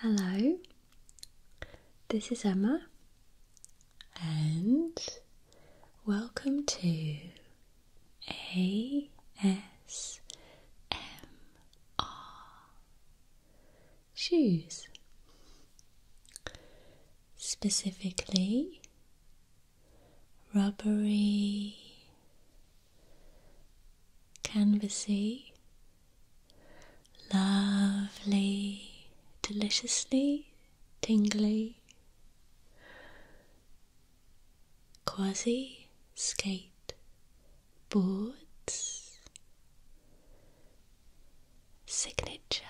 Hello, this is Emma, and welcome to ASMR Shoes. Specifically, rubbery, canvasy Lovely, deliciously tingly, quasi skate boards, signature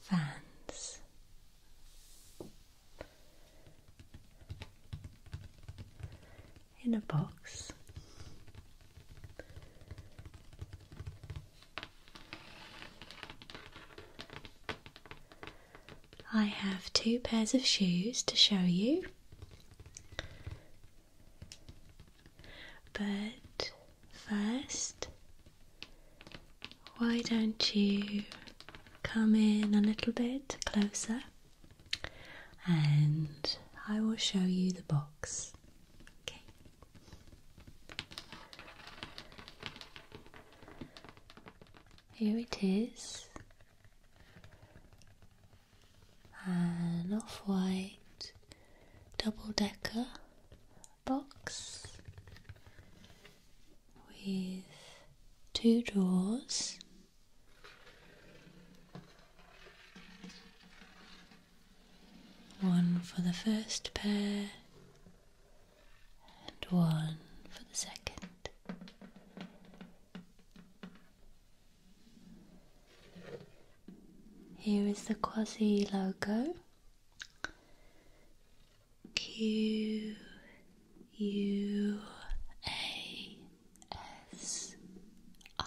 fans in a box. I have two pairs of shoes to show you, but first, why don't you come in a little bit closer? and I will show you the box. Okay. Here it is an off white double decker box with two drawers one for the first pair and one for the second. Here is the quasi logo Q U A S I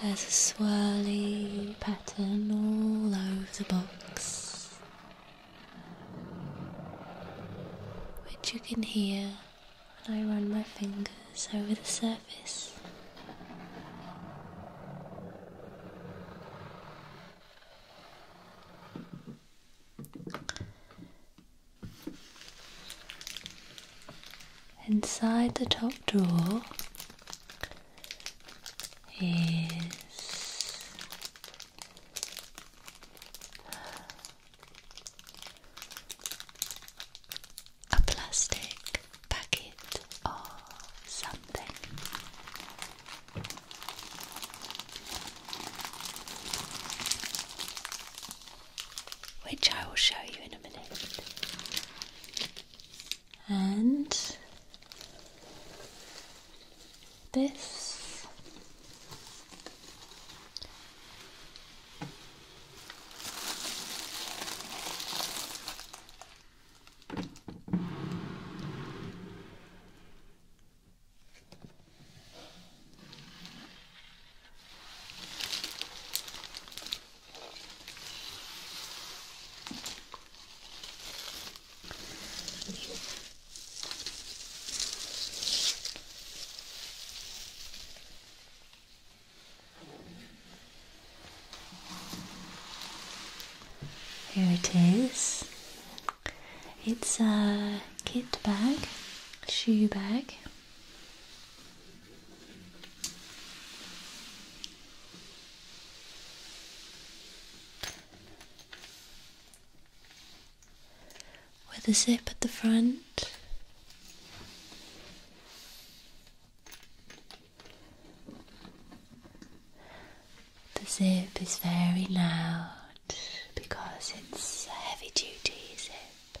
There's a swirly pattern all over the box, which you can hear when I run my fingers over the surface. Inside the top drawer is a plastic packet of something which I will show you in a minute. And this here it is. It's a kit bag, shoe bag with a zip at the front. The zip is very loud because it's a heavy duty zip.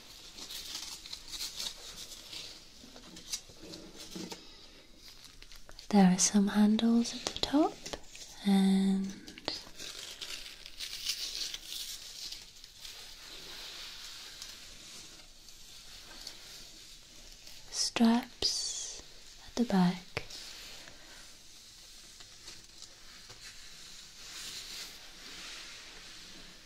There are some handles at the top and straps at the back.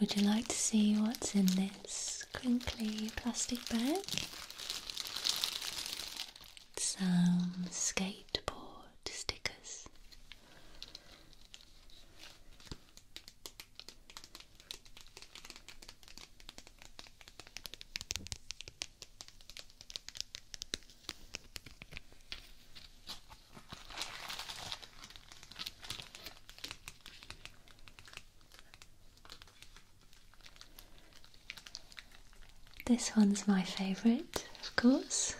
Would you like to see what's in this crinkly plastic bag? some skateboard stickers. This one's my favourite, of course.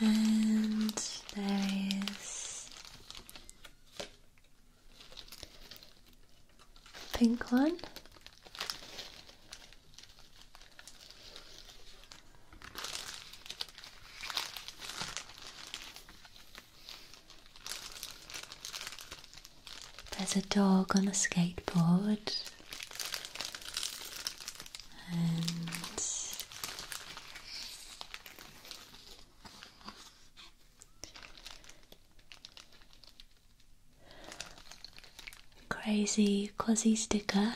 And there is pink one there's a dog on a skateboard, and crazy quasi sticker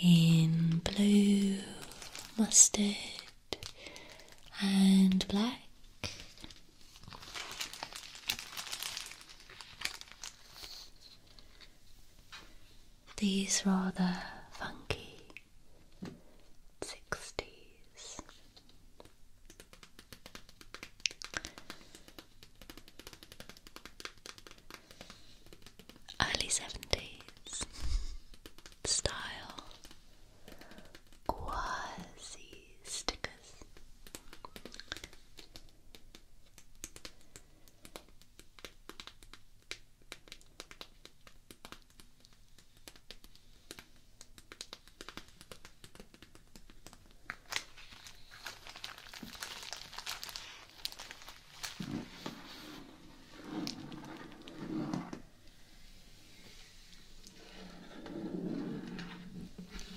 in blue, mustard, and black. These rather funky sixties early 70s style quasi stickers.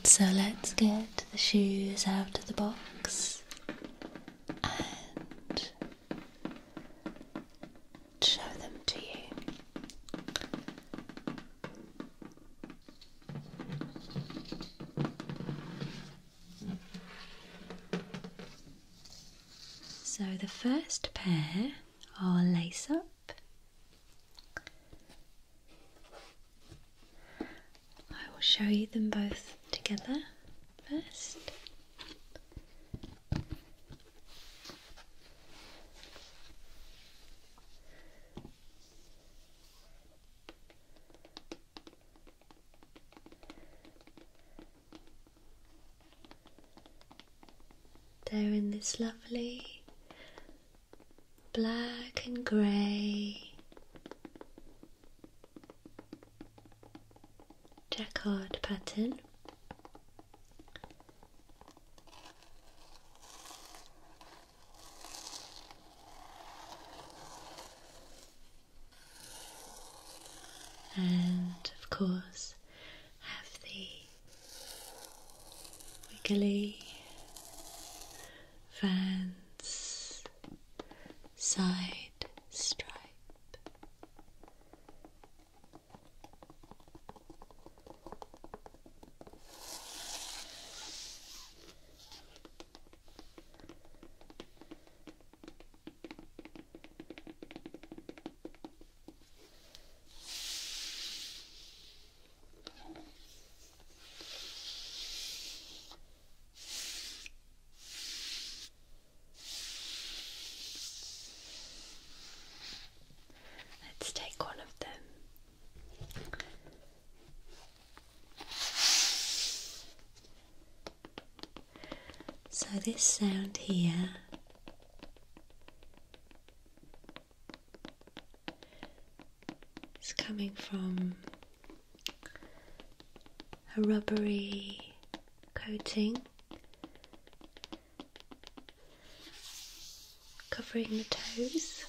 So let's get the shoes out of the box and show them to you. So the first pair are lace up. I will show you them both together first. There, in this lovely black and grey jacquard pattern and of course have the wiggly fans' side stripe. Let's take one of them. So, this sound here is coming from a rubbery coating covering the toes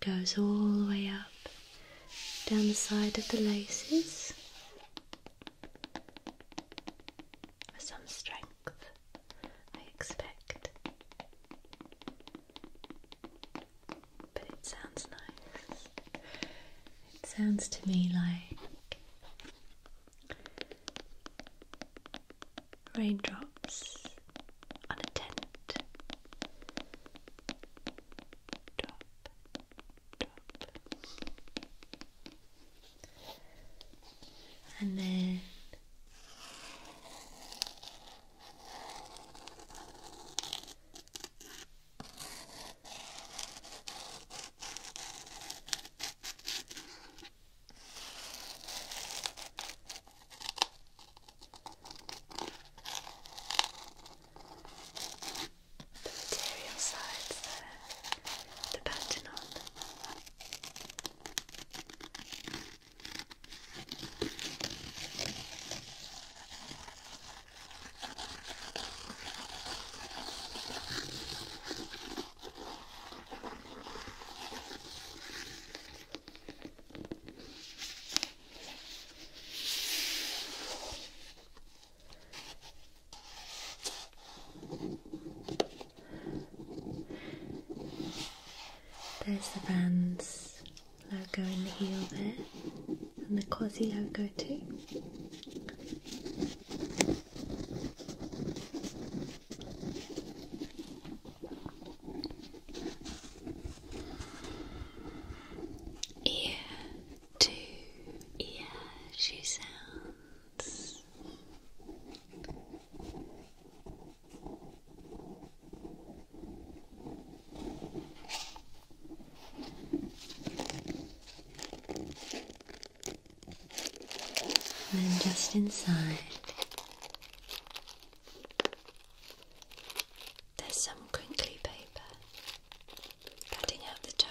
goes all the way up down the side of the laces some strength, I expect. But it sounds nice. It sounds to me like Raindrops on a tent. And then the material sides there, the pattern on. There's the Vans logo in the heel there, and the Quasi logo too. Ear to ear she sounds. And just inside, there's some crinkly paper cutting out the tone.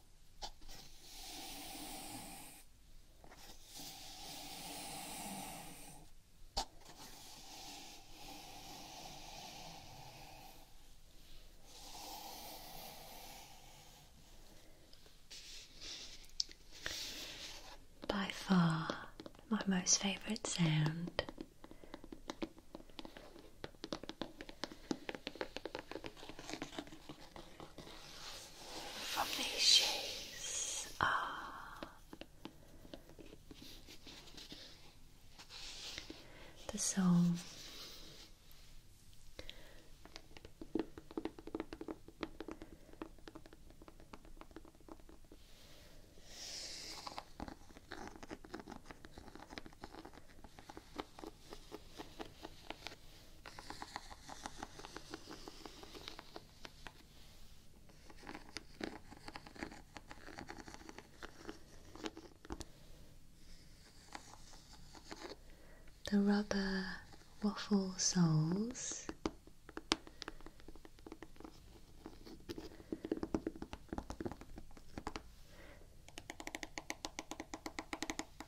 By far my most favourite sound from these shades are the song. The rubber waffle soles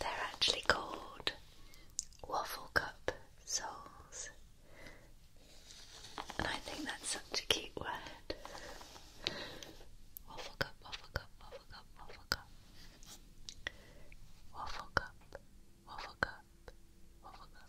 They're actually called waffle cup souls, and I think that's such a cute word. Waffle cup, waffle cup, waffle cup, waffle cup, waffle cup, Waffle cup. Waffle cup.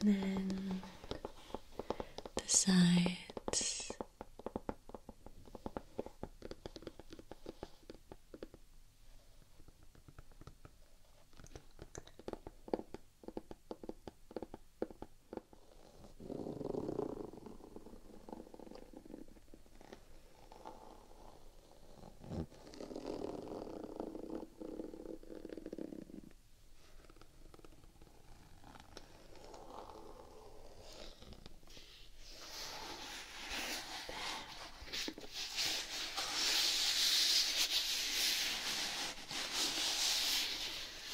and then the sides.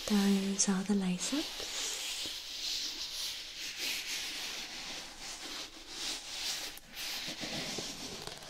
Those are the laces.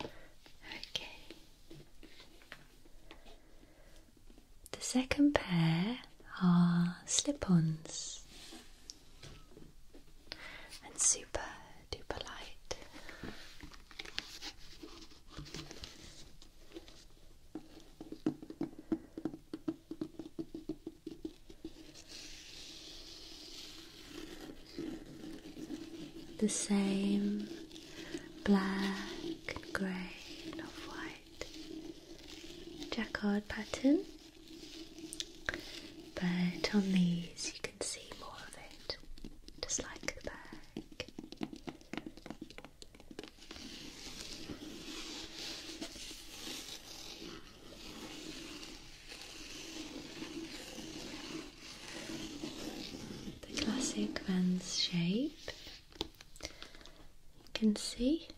Okay. The second pair are slip ons and super duper light the same black and grey and off white jacquard pattern, but on these you can see more of it, just like the bag the classic Vans shape. You can see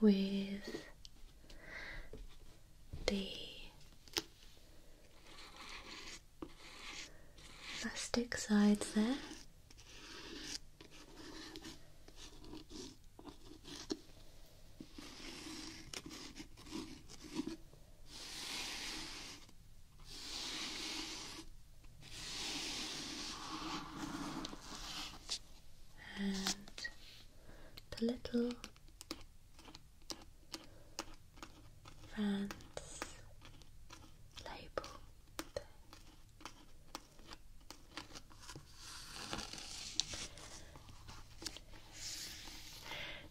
with the plastic sides there and the little France label.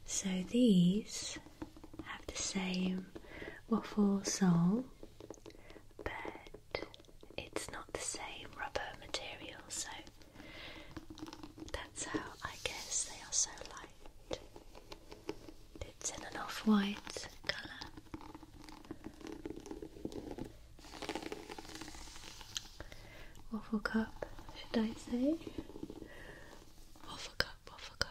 So these have the same waffle sole, but it's not the same rubber material, so that's how I guess they are so light. It's in an off white colour. Waffle cup, should I say? Waffle cup, waffle cup.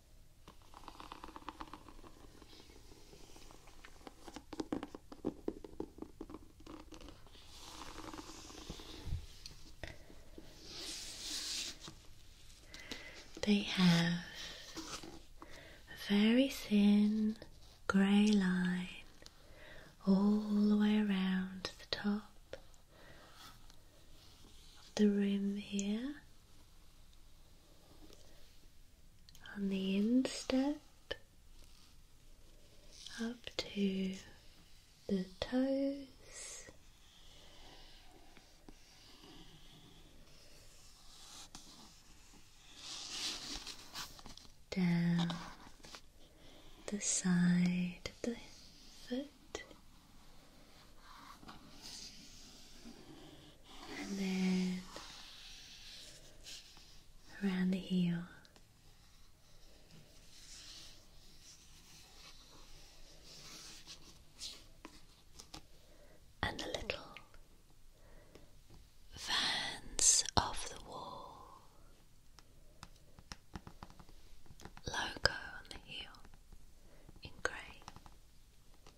They have a very thin grey line all the way around the top of the rim here on the instep up to the toes. Down the side of the foot and then around the heel. And the little fans of the wall logo on the heel in grey.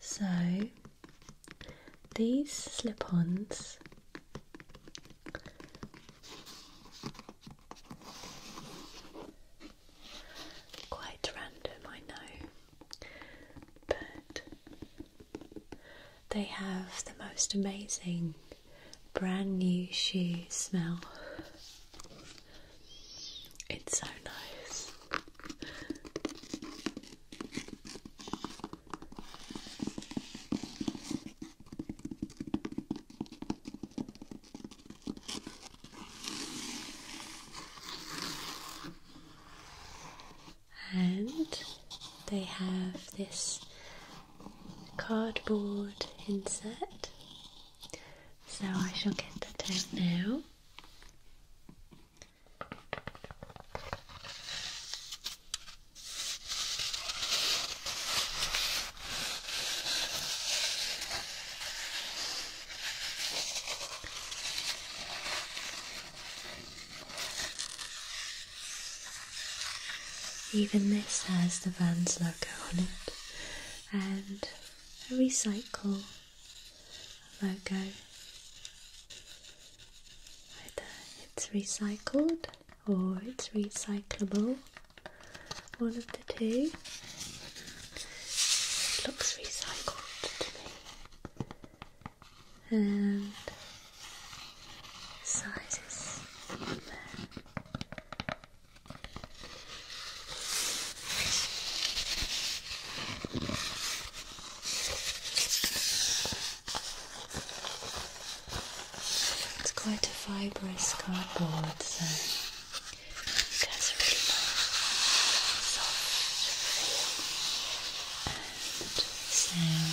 So these slip ons quite random, I know, but they have the most amazing brand new shoe smell. It's so nice. And they have this cardboard insert, so I shall get that out now. Even this has the Vans logo on it and a recycle logo whether it's recycled or it's recyclable. One of the two. looks recycled to me. And sizes it's quite a fibrous cardboard, so it has a really soft and sound.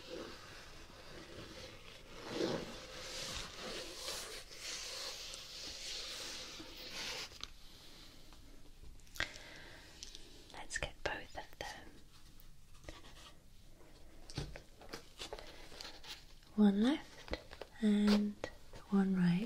Let's get both of them. One left and one right.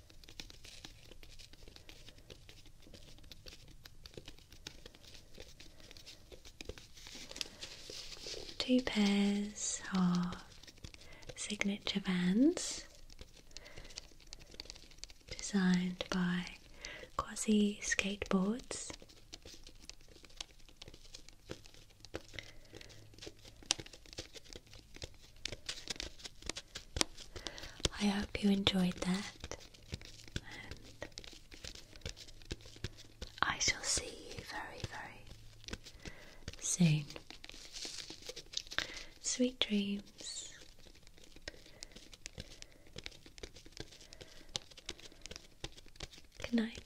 Two pairs of signature vans designed by Quasi Skateboards. I hope you enjoyed that, I shall see you very, very soon. Sweet dreams. Good night.